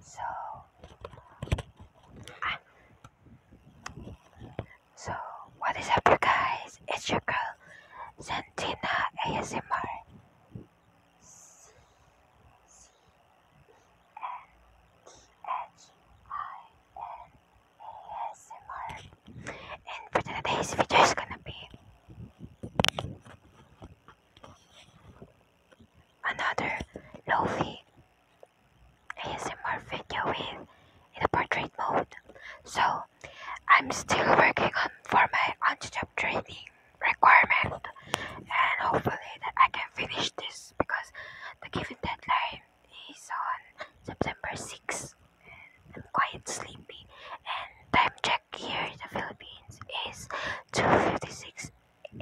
So, ah. so what is up, you guys? It's your girl Santina ASMR, C C N T H I N and for today's video is gonna be another low lovely ASMR video with in the portrait mode. So I'm still working on for my on-job training requirement and hopefully that I can finish this because the given deadline is on September 6th I'm quite sleepy and time check here in the Philippines is 2.56 in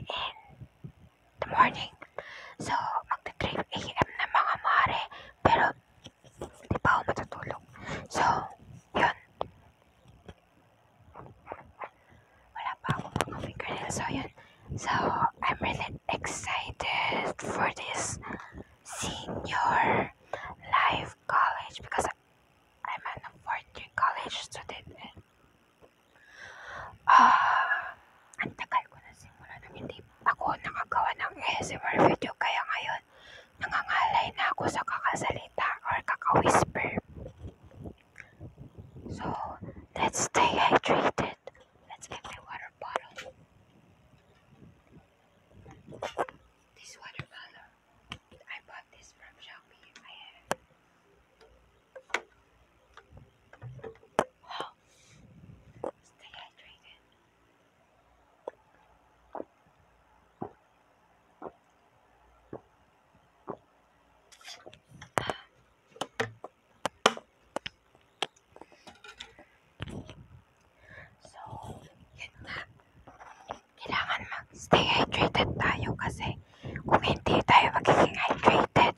the morning. So, magta-3 a.m. na mga mare, pero hindi pa ako matutulog. So, yun. Wala pa ako mga fingernails. So, yun. So, I'm really excited for this senior life college because I'm an 4th college student ah, uh, ko na simula nang hindi ako nakagawa ng ASMR video kaya ngayon nangangalay ako sa kakasalita or kakawhisper. So, let's stay hydrated. Let's get my water bottle. This water bottle I bought this from Shopee. I have. Stay hydrated. So, yun na kailangan mag-stay hydrated tayo kasi kung hindi tayo magiging hydrated,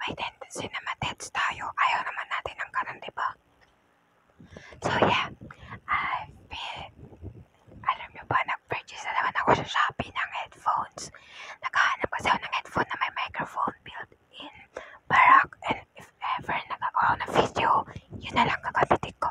may tendency na matets tayo. Ayaw naman natin ng ganun, di ba? So, yeah. I've been... Alam nyo ba, nag-purchase na naman ako sa Shopee ng headphones. Nakahanap kasi ako ng headphone na may microphone built-in. Barak, and if ever nagkakaroon ng video, yun na lang gagamitin ko.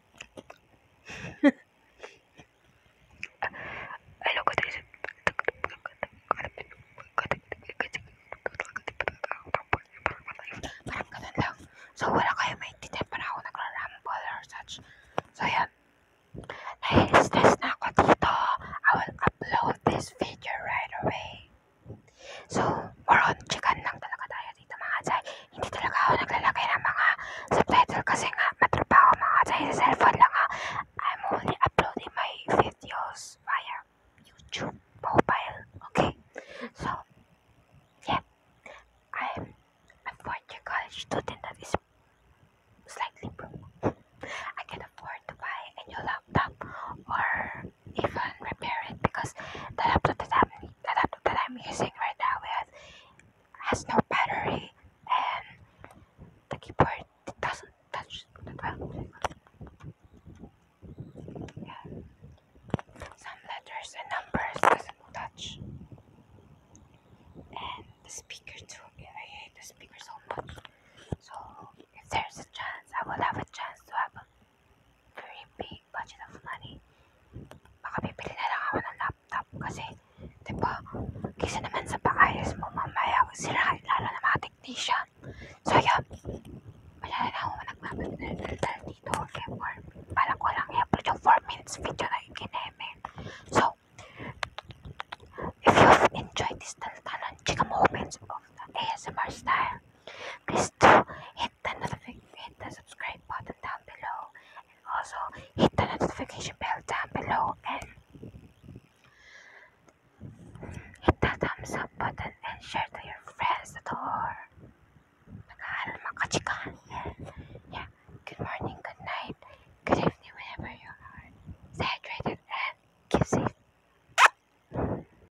Parang ganun lang. So, wala kayo maintindihan para ako nagra-ramble or such. So, yan. Nai-stress na ako dito. I will upload this video right away. So, more on chicken lang talaga tayo I'm only uploading my videos via YouTube mobile. Okay? So, yeah. I'm a fourth-year college student that is slightly broke. I can afford to buy a new laptop or even repair it because the laptop that I'm, the laptop that I'm using right now has, has no battery and the keyboard doesn't touch the well. Yeah. Some letters and numbers doesn't touch. And the speaker too. I hate the speaker so much. So if there's a chance, I will have a chance to have a very big budget of money. Baka bibili na lang ako ng laptop kasi, di ba, kisa naman sa paayos mo mamaya sira, lalo na mga technician. So, yun. Malala na ako nagmamadal dito. Okay, for, parang ko lang i-upload yung 4 minutes video na ikineme. So, if you've enjoyed this talent challenge, come opens of the ASMR style, please do hit the, hit subscribe button down below and also hit the notification bell down below and hit the thumbs up button and share to your friends that are nag-aaral mga Yeah. Good morning, good night, good evening whenever you are. Stay hydrated and keep safe.